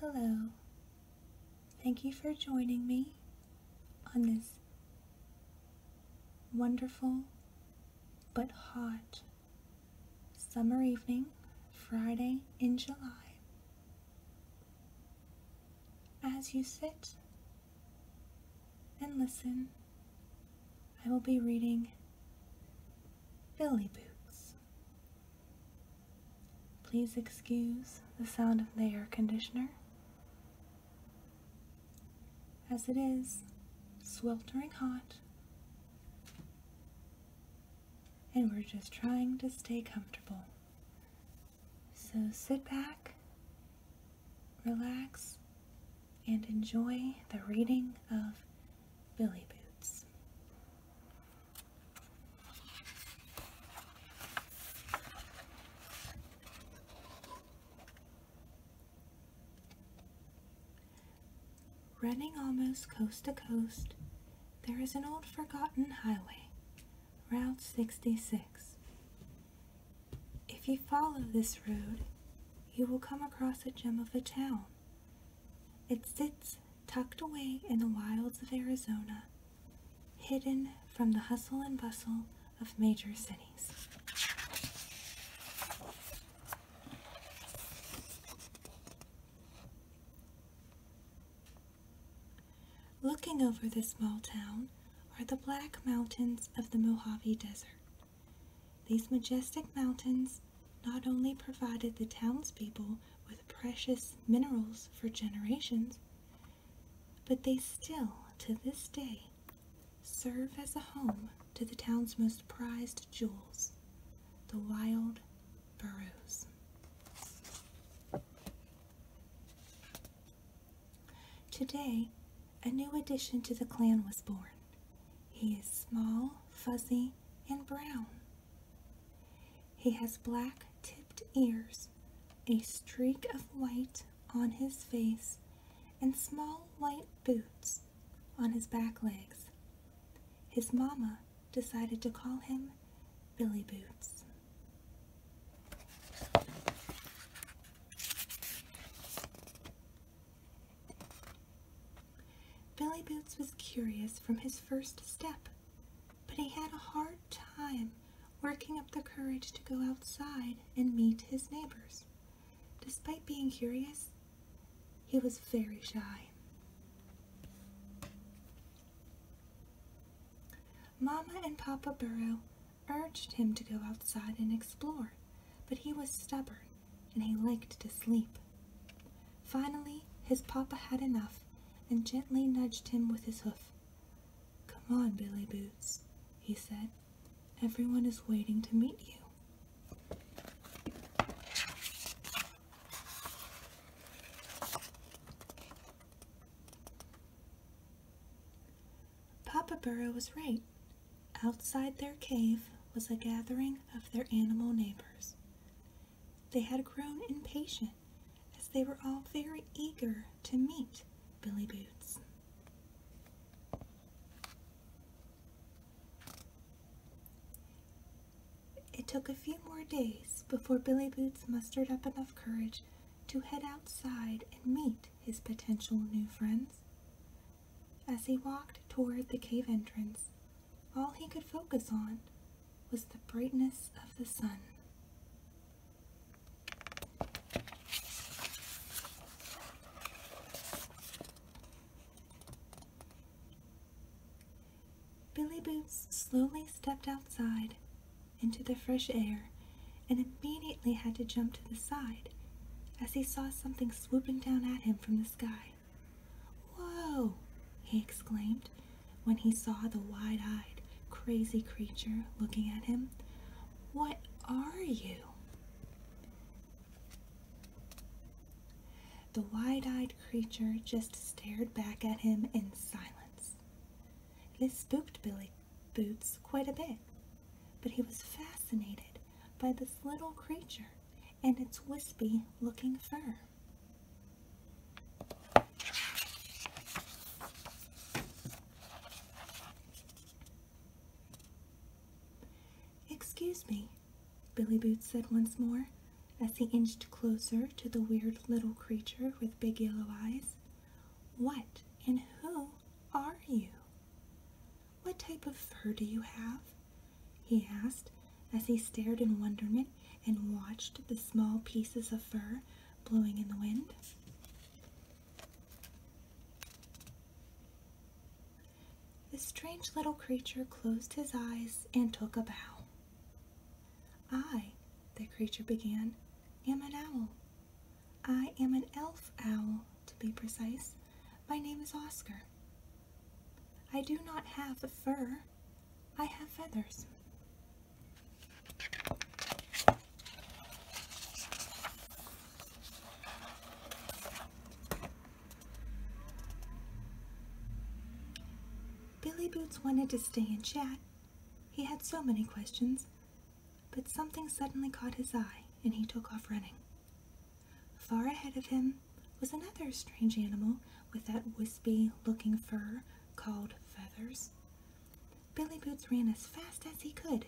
Hello. Thank you for joining me on this wonderful but hot summer evening, Friday in July. As you sit and listen. I will be reading Billy Boots. Please excuse the sound of the air conditioner, as it is sweltering hot, and we're just trying to stay comfortable so sit back, relax, and enjoy the reading of Billy Boots. Running almost coast to coast, there is an old forgotten highway, Route 66. If you follow this road, you will come across a gem of a town. It sits tucked away in the wilds of Arizona, hidden from the hustle and bustle of major cities. Looking over the small town, are the black mountains of the Mojave Desert. These majestic mountains not only provided the townspeople with precious minerals for generations, but they still, to this day, serve as a home to the town's most prized jewels, the wild burros. Today, a new addition to the clan was born. He is small, fuzzy, and brown. He has black tipped ears, a streak of white on his face, and small white boots on his back legs. His mama decided to call him Billy Boots. Billy Boots was curious from his first step, but he had a hard time working up the courage to go outside and meet his neighbors. Despite being curious, he was very shy. Mama and Papa Burrow urged him to go outside and explore, but he was stubborn and he liked to sleep. Finally, his papa had enough and gently nudged him with his hoof. Come on, Billy Boots, he said. Everyone is waiting to meet you. Papa Burrow was right. Outside their cave was a gathering of their animal neighbors. They had grown impatient as they were all very eager to meet Billy Boots. It took a few more days before Billy Boots mustered up enough courage to head outside and meet his potential new friends. As he walked toward the cave entrance, all he could focus on was the brightness of the sun. Billy Boots slowly stepped outside into the fresh air and immediately had to jump to the side as he saw something swooping down at him from the sky. Whoa! he exclaimed when he saw the wide eyed, crazy creature looking at him. What are you? The wide eyed creature just stared back at him in silence. This spooked Billy Boots quite a bit, but he was fascinated by this little creature and its wispy looking fur. Excuse me, Billy Boots said once more as he inched closer to the weird little creature with big yellow eyes. What and who are you? What type of fur do you have? he asked as he stared in wonderment and watched the small pieces of fur blowing in the wind. The strange little creature closed his eyes and took a bow. I, the creature began, am an owl. I am an elf owl, to be precise. My name is Oscar. I do not have fur, I have feathers. Billy Boots wanted to stay and chat. He had so many questions, but something suddenly caught his eye, and he took off running. Far ahead of him was another strange animal with that wispy looking fur called feathers. Billy Boots ran as fast as he could,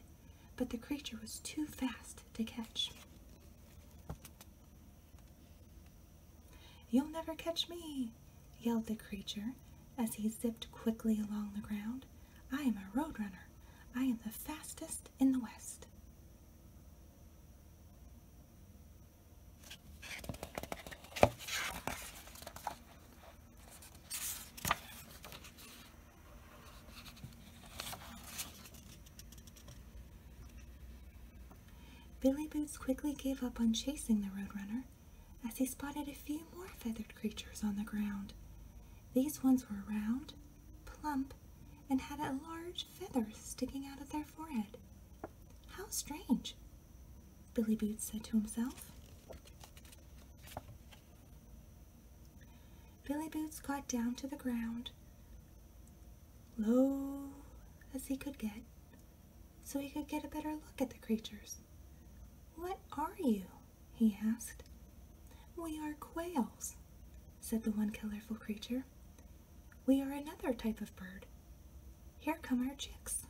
but the creature was too fast to catch. You'll never catch me, yelled the creature as he zipped quickly along the ground. I am a road runner. I am the fastest in the West. Billy Boots quickly gave up on chasing the road runner as he spotted a few more feathered creatures on the ground. These ones were round, plump, and had a large feather sticking out of their forehead. How strange, Billy Boots said to himself. Billy Boots got down to the ground, low as he could get, so he could get a better look at the creatures. What are you? he asked. We are quails, said the one colorful creature. We are another type of bird. Here come our chicks.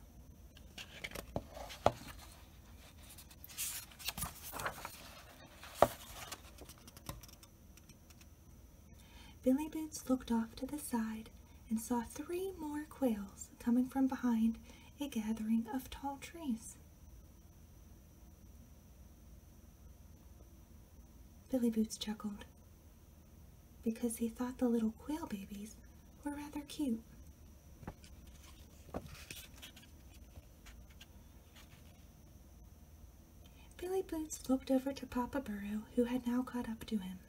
Billy Boots looked off to the side and saw three more quails coming from behind a gathering of tall trees. Billy Boots chuckled because he thought the little quail babies were rather cute. Billy Boots looked over to Papa Burrow, who had now caught up to him.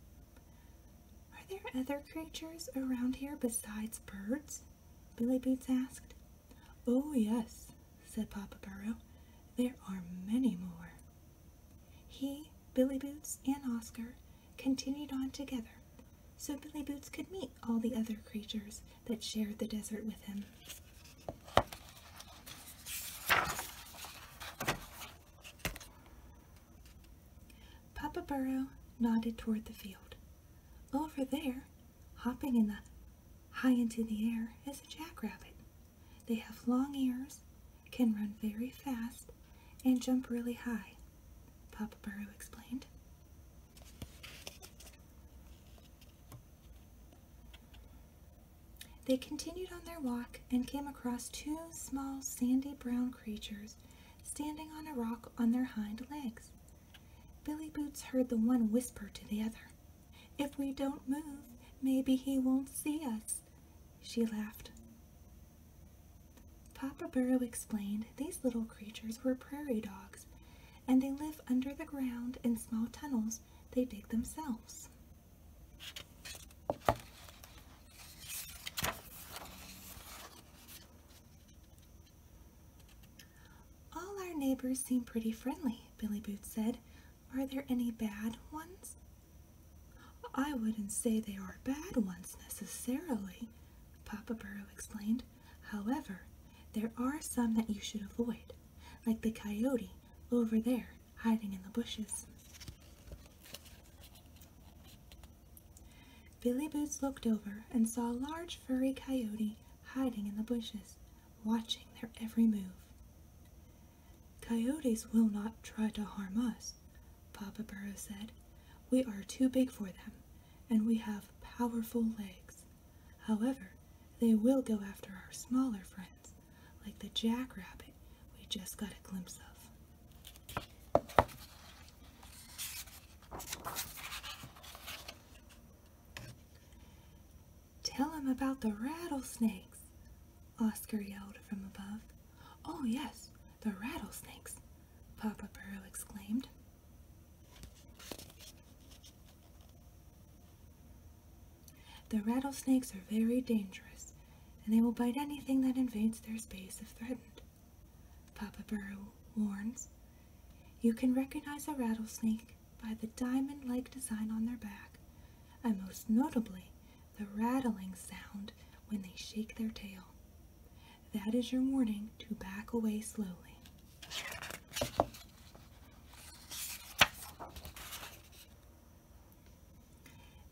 Are there other creatures around here besides birds? Billy Boots asked. Oh, yes, said Papa Burrow. There are many more. He, Billy Boots, and Oscar continued on together so Billy Boots could meet all the other creatures that shared the desert with him. Papa Burrow nodded toward the field. Over there, hopping in the high into the air, is a jackrabbit. They have long ears, can run very fast, and jump really high, Papa Burrow explained. They continued on their walk and came across two small sandy brown creatures standing on a rock on their hind legs. Billy Boots heard the one whisper to the other, If we don't move, maybe he won't see us. She laughed. Papa Burrow explained these little creatures were prairie dogs, and they live under the ground in small tunnels they dig themselves. All our neighbors seem pretty friendly, Billy Boots said. Are there any bad ones? I wouldn't say they are bad ones necessarily, Papa Burrow explained. However, there are some that you should avoid, like the coyote over there hiding in the bushes. Billy Boots looked over and saw a large furry coyote hiding in the bushes, watching their every move. Coyotes will not try to harm us, Papa Burro said. We are too big for them, and we have powerful legs. However, they will go after our smaller friends, like the jackrabbit we just got a glimpse of. Tell him about the rattlesnakes, Oscar yelled from above. Oh, yes, the rattlesnakes, Papa Burrow exclaimed. The rattlesnakes are very dangerous, and they will bite anything that invades their space if threatened. Papa Burrow warns. You can recognize a rattlesnake by the diamond like design on their back, and most notably, the rattling sound when they shake their tail. That is your warning to back away slowly.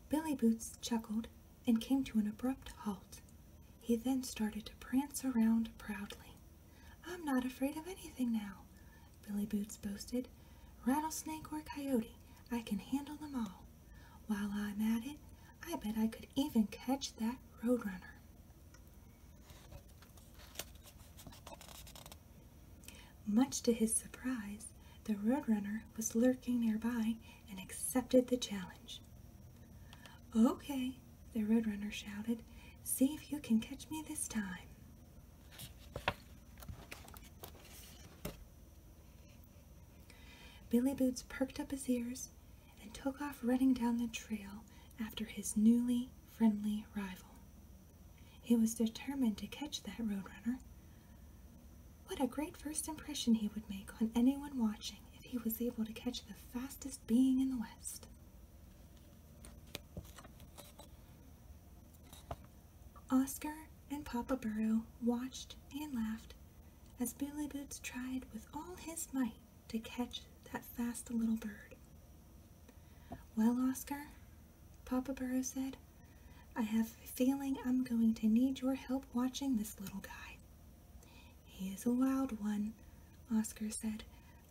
Billy Boots chuckled and came to an abrupt halt. He then started to prance around proudly. I'm not afraid of anything now, Billy Boots boasted. Rattlesnake or coyote, I can handle them all. While I'm at it, I bet I could even catch that roadrunner. Much to his surprise, the roadrunner was lurking nearby and accepted the challenge. Okay, the roadrunner shouted. See if you can catch me this time. Billy Boots perked up his ears and took off running down the trail after his newly friendly rival. He was determined to catch that roadrunner, what a great first impression he would make on anyone watching if he was able to catch the fastest being in the West. Oscar and Papa Burrow watched and laughed as Billy Boots tried with all his might to catch that fast little bird. Well, Oscar, Papa Burrow said, I have a feeling I'm going to need your help watching this little guy. He is a wild one, Oscar said.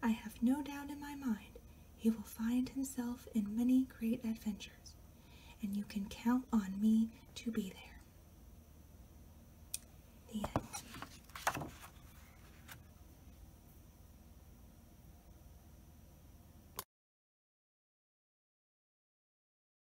I have no doubt in my mind he will find himself in many great adventures, and you can count on me to be there.